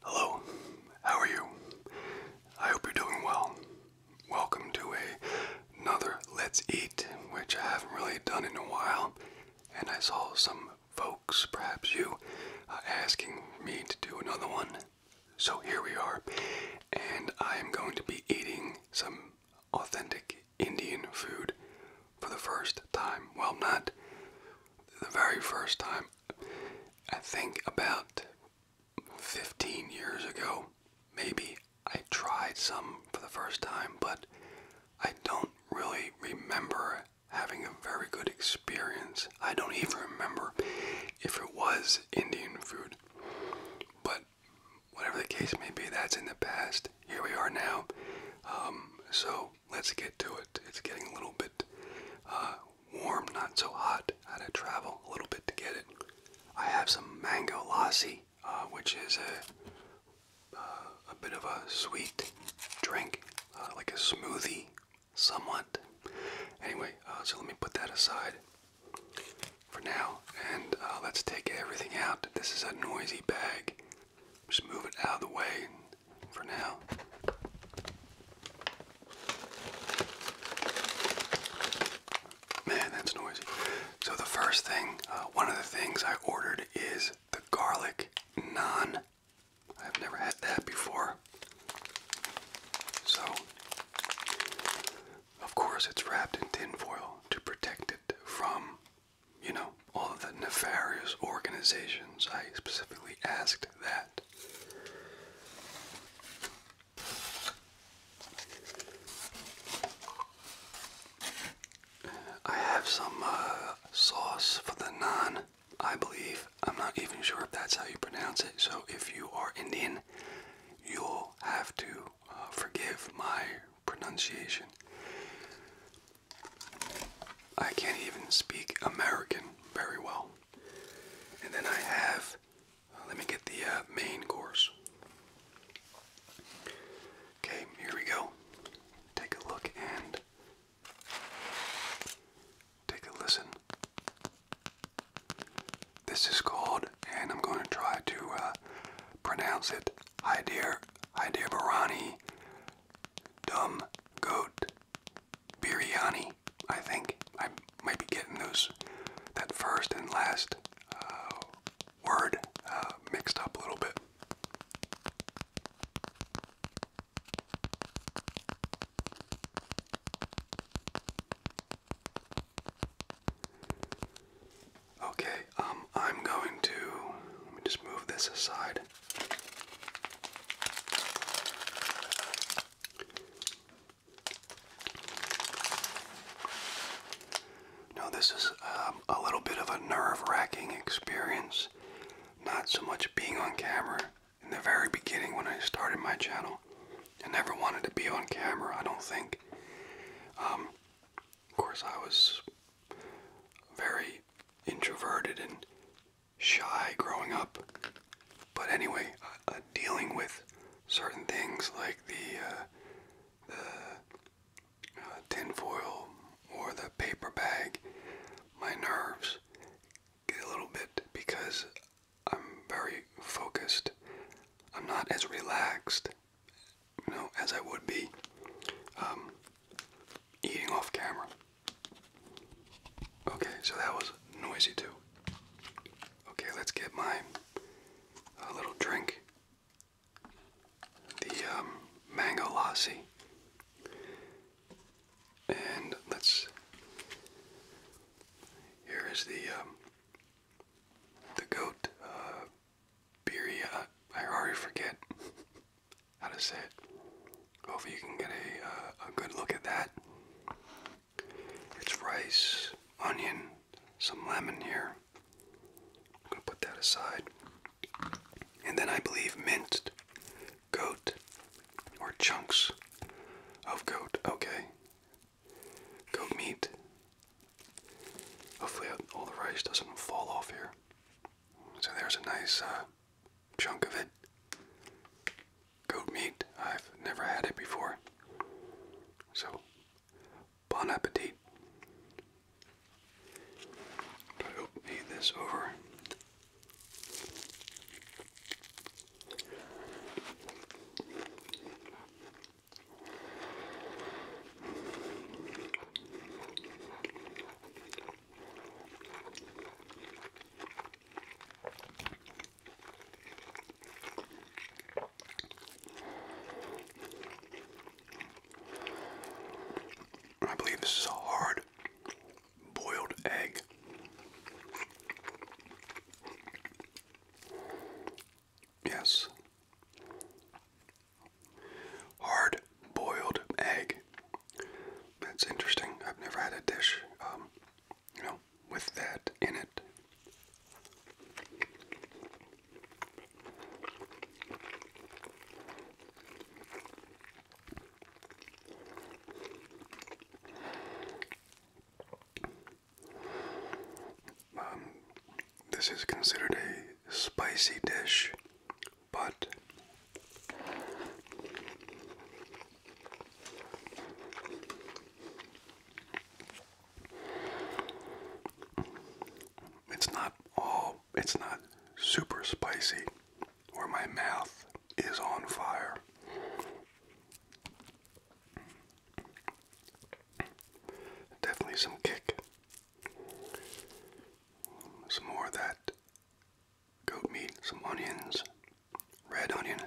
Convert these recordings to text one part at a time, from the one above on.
Hello, how are you? I hope you're doing well. Welcome to another Let's Eat, which I haven't really done in a while, and I saw some folks, perhaps you, uh, asking me to do another one. So here we are, and I am going to be eating some authentic Indian food for the first time. Well, not the very first time. I think about 15 years ago, maybe I tried some for the first time, but I don't really remember having a very good experience. I don't even remember if it was Indian food. But whatever the case may be, that's in the past. Here we are now. Um, so let's get to it. It's getting a little bit uh, warm, not so hot. I had to travel a little bit to get it. I have some mango lassi, uh, which is uh, a, bit of a sweet drink, like a smoothie, somewhat. Anyway, so let me put that aside for now, and let's take everything out. This is a noisy bag. Just move it out of the way for now. Man, that's noisy. So the first thing, uh, one of the things I ordered is the garlic non. I've never had that before. So, of course, it's wrapped in tinfoil to protect it from, you know, all the nefarious organizations. I specifically asked that. I have some uh, sauce for the naan, I believe. I'm not even sure if that's how you pronounce it. So if you are Indian, you'll have to uh, forgive my pronunciation. I can't even speak American very well. And then I have, let me get the uh, main course. Okay, here we go. Take a look and take a listen. This is called, and I'm going to try to uh, pronounce it, dear, dear, Hyderbarani Dumb Goat biryani. I think I might be getting those that first and last uh, word uh, mixed up a little bit. Okay, um, I'm going to let me just move this aside. No, this is um, a little bit of a nerve-wracking experience. Not so much being on camera. In the very beginning when I started my channel, I never wanted to be on camera, I don't think. Um, of course, I was very introverted and shy growing up. But anyway, uh, uh, dealing with certain things like the uh, the uh, tinfoil or the paper bag, my nerves get a little bit because I'm very focused. I'm not as relaxed, you know, as I would be um, eating off camera. Okay, so that was noisy too. Okay, let's get my uh, little drink. The um, mango lassi. And let's. Here is the um, the goat uh, I already forget. how to say it. Hopefully you can get a, uh, a good look at that. It's rice, onion, some lemon here. I'm gonna put that aside. And then I believe minced goat or chunks of goat. Okay. Goat meat. Hopefully all the rice doesn't fall off here. So there's a nice uh, chunk of it. Goat meat, I've never had it before. So, bon appetit. I'll eat this over. I believe this is a hard boiled egg. Yes. Hard boiled egg. That's interesting. I've never had a dish, um, you know, with that in it. Um, this is considered a spicy dish but it's not all it's not super spicy or my mouth is on fire. Definitely some kick. Some more that goat meat, some onions, red onion.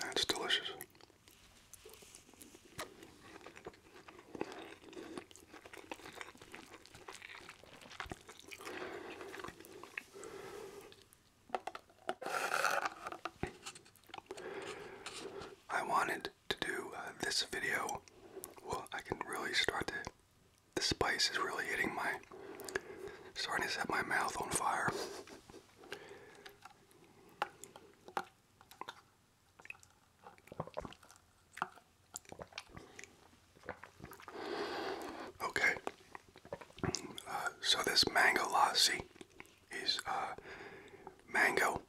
That's delicious. I wanted to do uh, this video. Well, I can really start to. The spice is really hitting my. starting to set my mouth on fire. Okay, uh, so this mango lassi is uh, mango,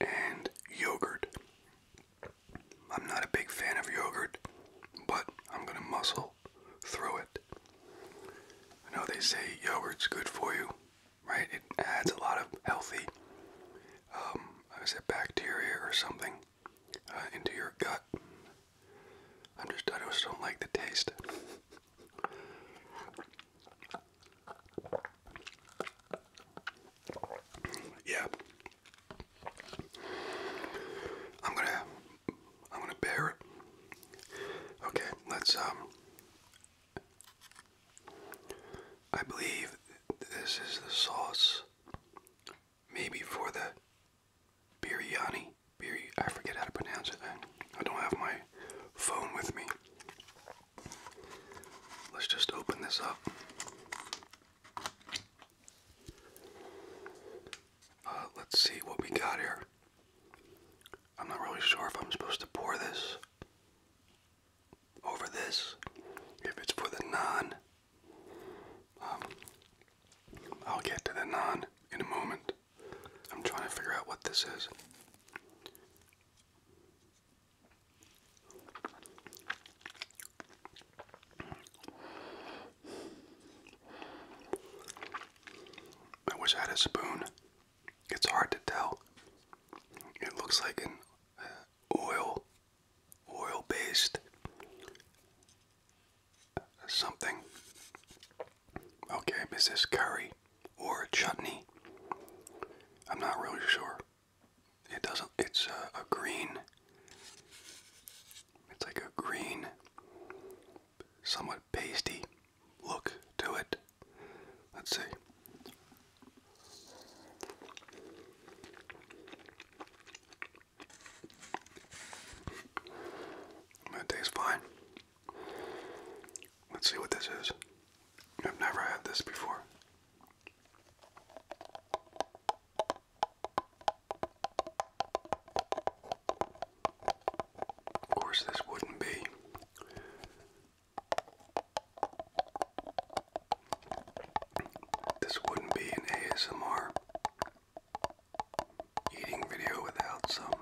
and yogurt. I'm not a big fan of yogurt, but I'm going to muscle through it. I know they say yogurt's good for you, right? It adds a lot of healthy, um, is it bacteria or something, uh, into your gut. i just, I just don't like the taste. Yeah. I'm gonna I'm gonna bear it. Okay, let's um I believe this is the sauce maybe for the biryani. Bir I forget how to pronounce it. I don't have my phone with me. Let's just open this up. Uh, let's see what we got here. I'm not really sure if I'm supposed to pour this over this, if it's for the non. Um, I'll get to the non in a moment. I'm trying to figure out what this is. I wish I had a spoon. It's hard to tell. It looks like an uh, oil, oil-based uh, something. Okay, is this curry or chutney? I'm not really sure. It doesn't. It's a, green. It's like a green, somewhat pasty look to it. Let's see. That tastes fine. Let's see what this is. I've never had this before. Of course, this wouldn't be this wouldn't be an ASMR eating video without some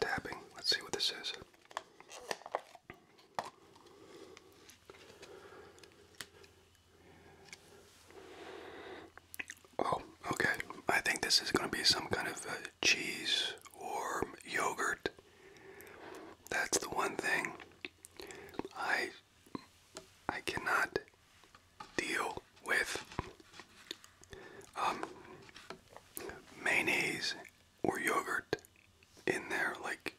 Tapping. Let's see what this is. Oh, okay. I think this is going to be some kind of cheese or yogurt. That's the one thing I I cannot deal with um, mayonnaise or yogurt in there, like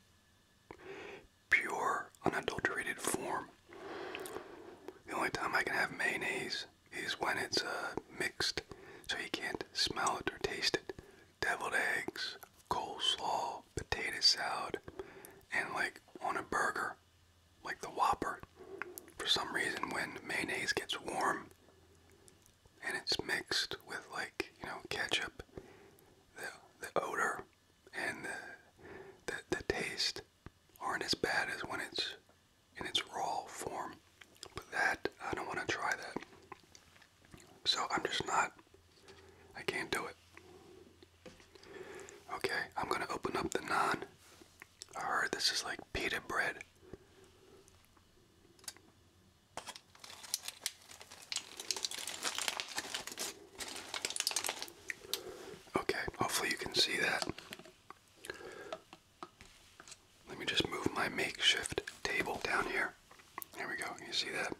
pure unadulterated form. The only time I can have mayonnaise is when it's uh, mixed, so you can't smell it or taste it. Deviled eggs, coleslaw, potato salad, and like on a burger, like the Whopper. For some reason, when mayonnaise gets warm and it's mixed with like you know ketchup, the the odor and the the, the taste aren't as bad as when it's in its raw form. But that I don't want to try that. So I'm just not. I can't do it. Okay, I'm gonna open up the naan. I heard this is like pita bread. Okay, hopefully you can see that. Let me just move my makeshift table down here. There we go. You see that?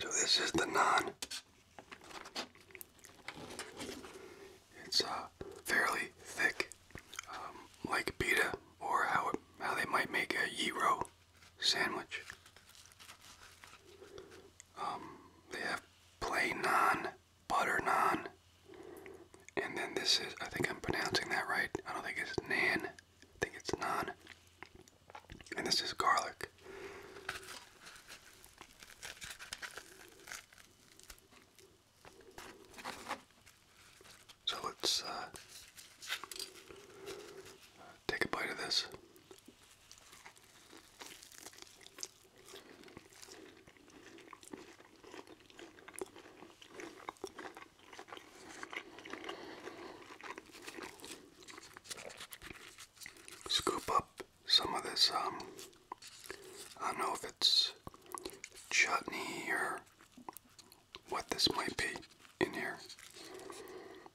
So this is the naan. It's uh, fairly thick, um, like pita, or how how they might make a gyro sandwich. Um, they have plain naan, butter naan, and then this is I think I'm pronouncing that right. I don't think it's nan. I think it's naan. And this is garlic. So let's uh, take a bite of this scoop up some of this, um, I don't know if it's chutney or what this might be in here.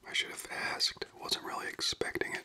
I should have asked, wasn't really expecting it.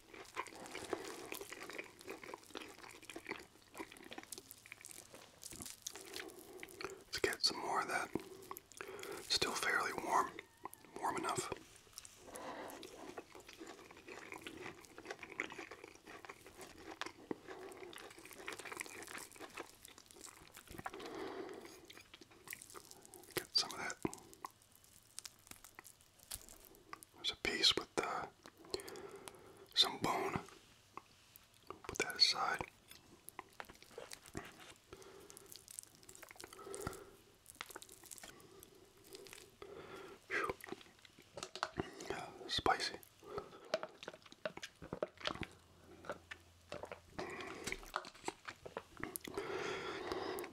Let's get some more of that. Still fairly warm, warm enough. Get some of that there's a piece with uh, some bone. Put that aside. spicy.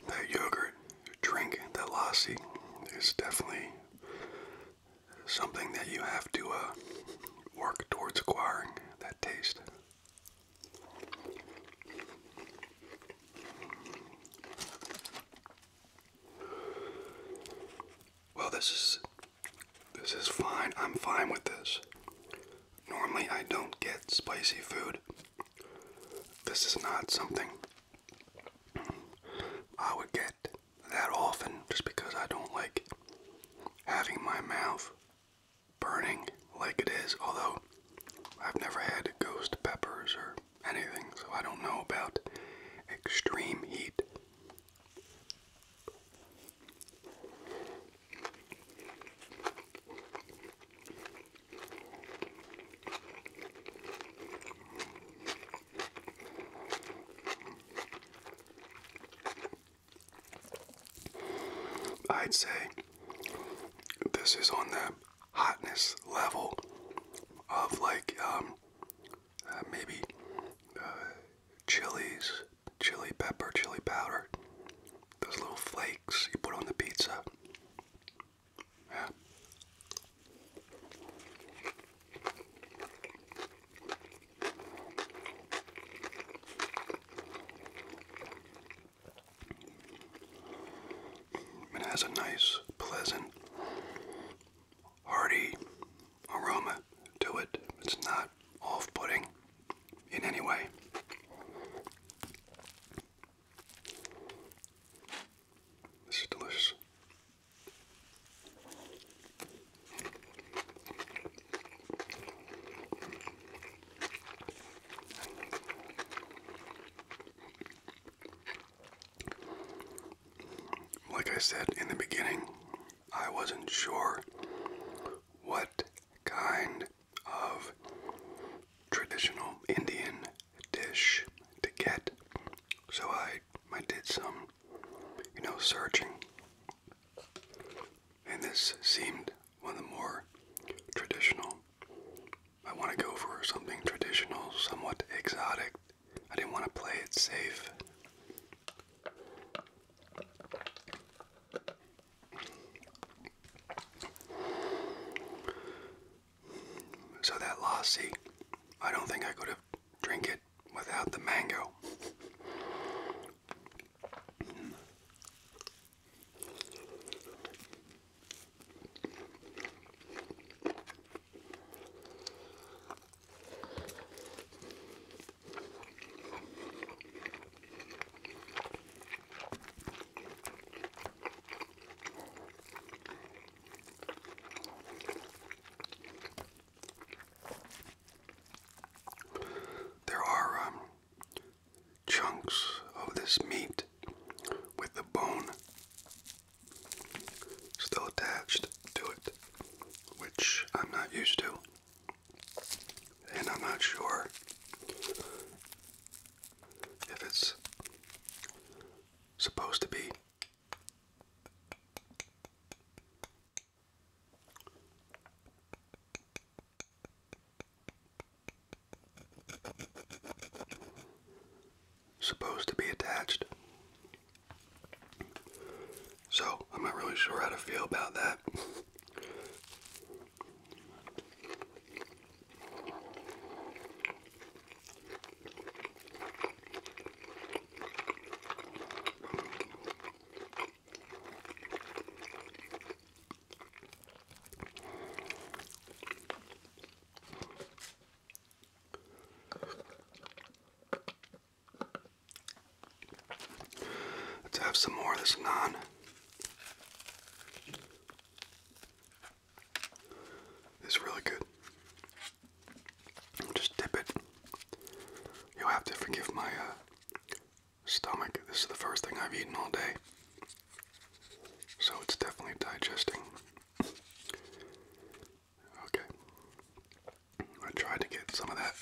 That yogurt drink, that lassi, is definitely something that you have to uh, work towards acquiring that taste. Well, this is this is fine. I'm fine with this. Normally, I don't get spicy food. This is not something I would get that often just because I don't like having my mouth burning like it is, although I've never had ghost peppers or anything, so I don't know about extreme heat. I'd say this is on the hotness level of like um, uh, maybe uh, chilies, chili pepper, chili powder, those little flakes you put on the pizza. It has a nice, pleasant, hearty aroma to it. It's not off putting in any way. This is delicious. Like I said in the beginning, I wasn't sure what kind of traditional Indian dish to get. So I I did some, you know, searching. And this seemed one of the more traditional. I want to go for something traditional, somewhat exotic. I didn't want to play it safe. So that lassi, I don't think I could have drink it without the mango. There are um, chunks of this meat with the bone still attached to it, which I'm not used to, and I'm not sure if it's supposed to be. Supposed to be attached. So, I'm not really sure how to feel about that. Let's have some more of this naan. It's really good. Just dip it. You'll have to forgive my uh, stomach. This is the first thing I've eaten all day. So it's definitely digesting. Okay. I tried to get some of that,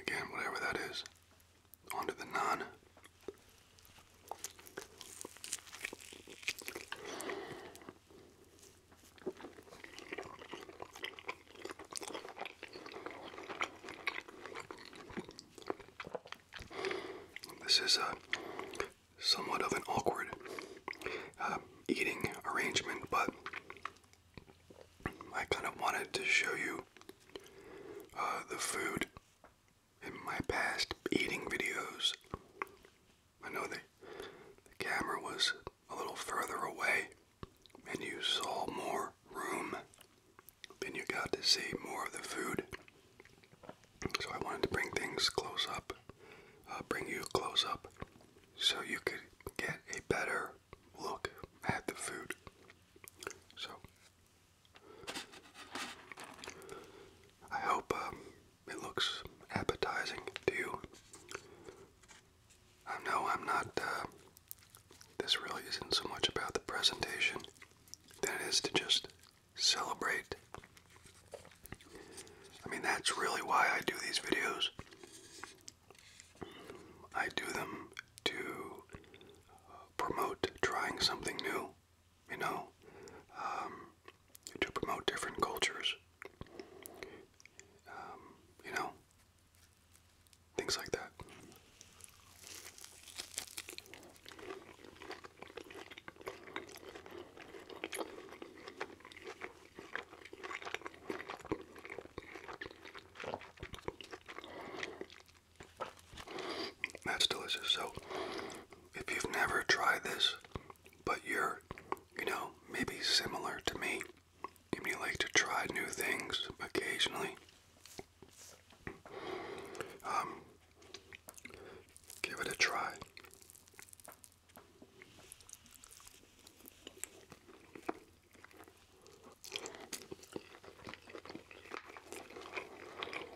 again, whatever that is, onto the naan. This is a uh, somewhat of an awkward uh, eating arrangement, but I kind of wanted to show you uh, the food in my past eating videos. I know that the camera was a little further away and you saw more room and you got to see more of the food. So I wanted to bring things close up, uh, bring you close up so you could get a better look at the food. So I hope um, it looks appetizing to you. I know I'm not, uh, this really isn't so much about the presentation than it is to just celebrate. I mean, that's really why I do these videos. I do them to promote trying something new you know, um, to promote different cultures, um, you know, things like that. That's delicious. So, if you've never tried this, but you're, you know, maybe similar to me, and you like to try new things occasionally, um, give it a try.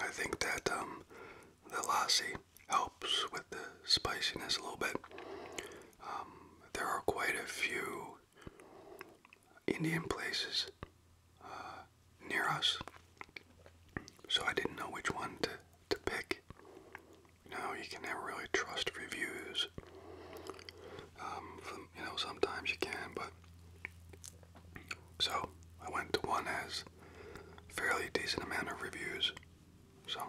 I think that um, the lassi helps with the spiciness a little bit. Um, there are quite a few Indian places uh, near us, so I didn't know which one to, to pick. You you can never really trust reviews. Um, you know, sometimes you can, but so I went to one that fairly decent amount of reviews. So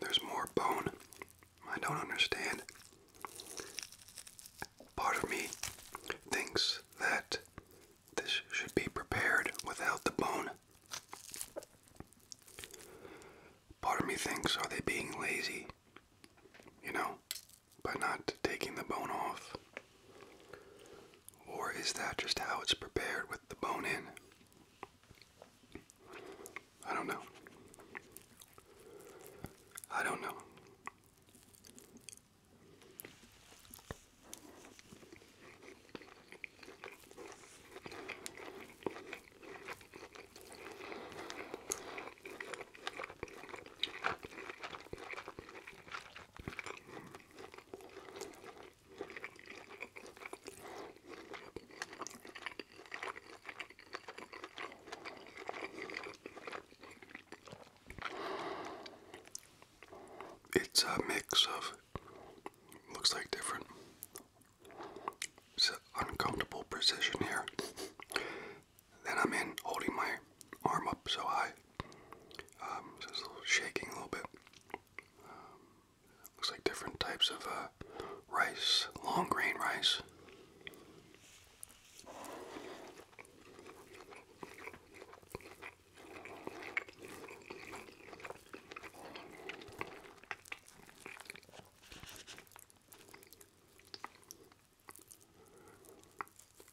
there's more bone I don't understand. Part of me thinks that this should be prepared without the bone. Part of me thinks, are they being lazy? You know, by not taking the bone off? Or is that just how it's prepared with the bone in? I don't know. I don't know. It's a mix of looks like different uncomfortable position here. Then I'm in holding my arm up so high. Um, shaking a little bit. Um, Looks like different types of uh, rice, long grain rice.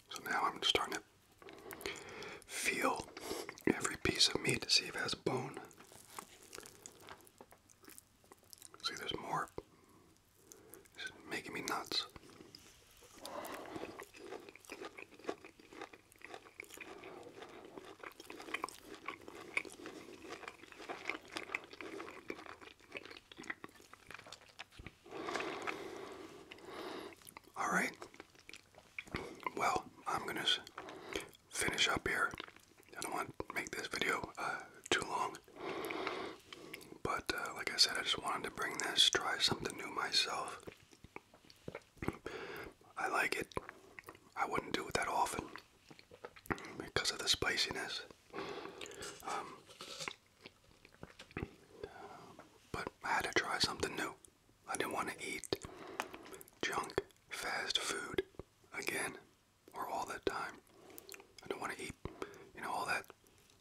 So now I'm starting to feel every piece of meat to see if has bone. See, there's more. This making me nuts. All right. Well, I'm going to finish up here. I don't want to make this video uh, too long. But uh, like I said, I just wanted to bring this, try something new myself. I like it. I wouldn't do it that often because of the spiciness. Um, but I had to try something new. I didn't want to eat junk fast food again or all that time. I don't want to eat, you know, all that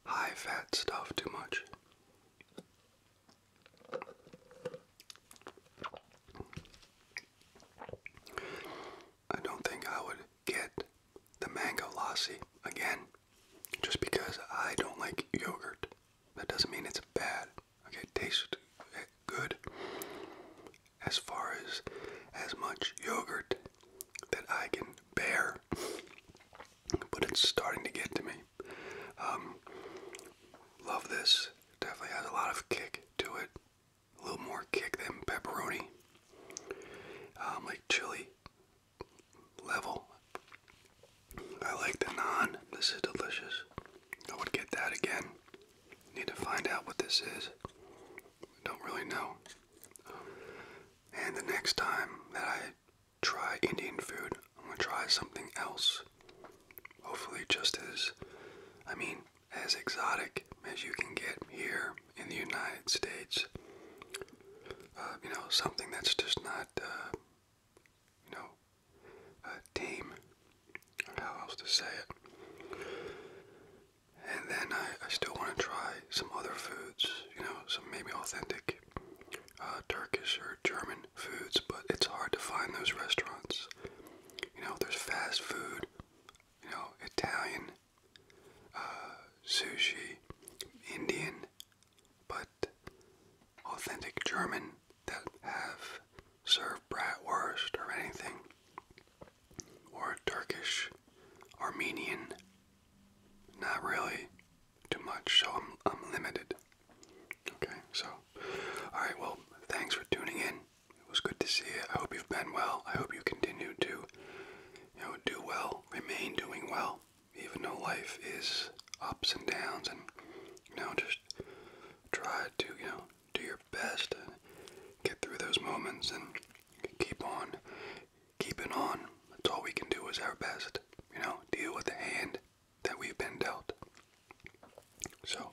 high fat stuff too much. I don't think I would get the mango lassi again just because I don't like yogurt. That doesn't mean it's bad. Okay, it it eh, good. As far as as much yogurt that I can bear, but it's starting to get to me. Um, love this. Definitely has a lot of kick to it. A little more kick than pepperoni. Um, like chili level. I like the naan. This is delicious. I would get that again. Need to find out what this is. Don't really know. and the next time that I try Indian food, I'm gonna try something else. Hopefully, just as, I mean, as exotic as you can get here in the United States. Uh, you know, something that's just not, uh, you know, uh, tame how else to say it. And then I, still want to try some other foods, you know, some maybe authentic uh, Turkish or German foods, but it's hard to find those restaurants. You know, there's fast food, you know, Italian, uh, sushi, Indian, but authentic German that have served bratwurst or anything or Turkish, Armenian. Not really too much, so I'm, I'm limited. Okay, so, alright, well, thanks for tuning in. It was good to see you. I hope you've been well. I hope you continue to, you know, do well, remain doing well, even though life is ups and downs and, you know, just try to, you know, do your best and get through those moments and keep on keeping on. That's all we can do is our best, you know, deal with the hand that we've been dealt. So,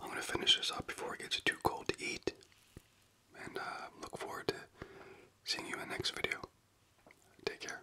I'm going to finish this up before it gets too cold to eat. And uh, look forward to seeing you in the next video. Take care.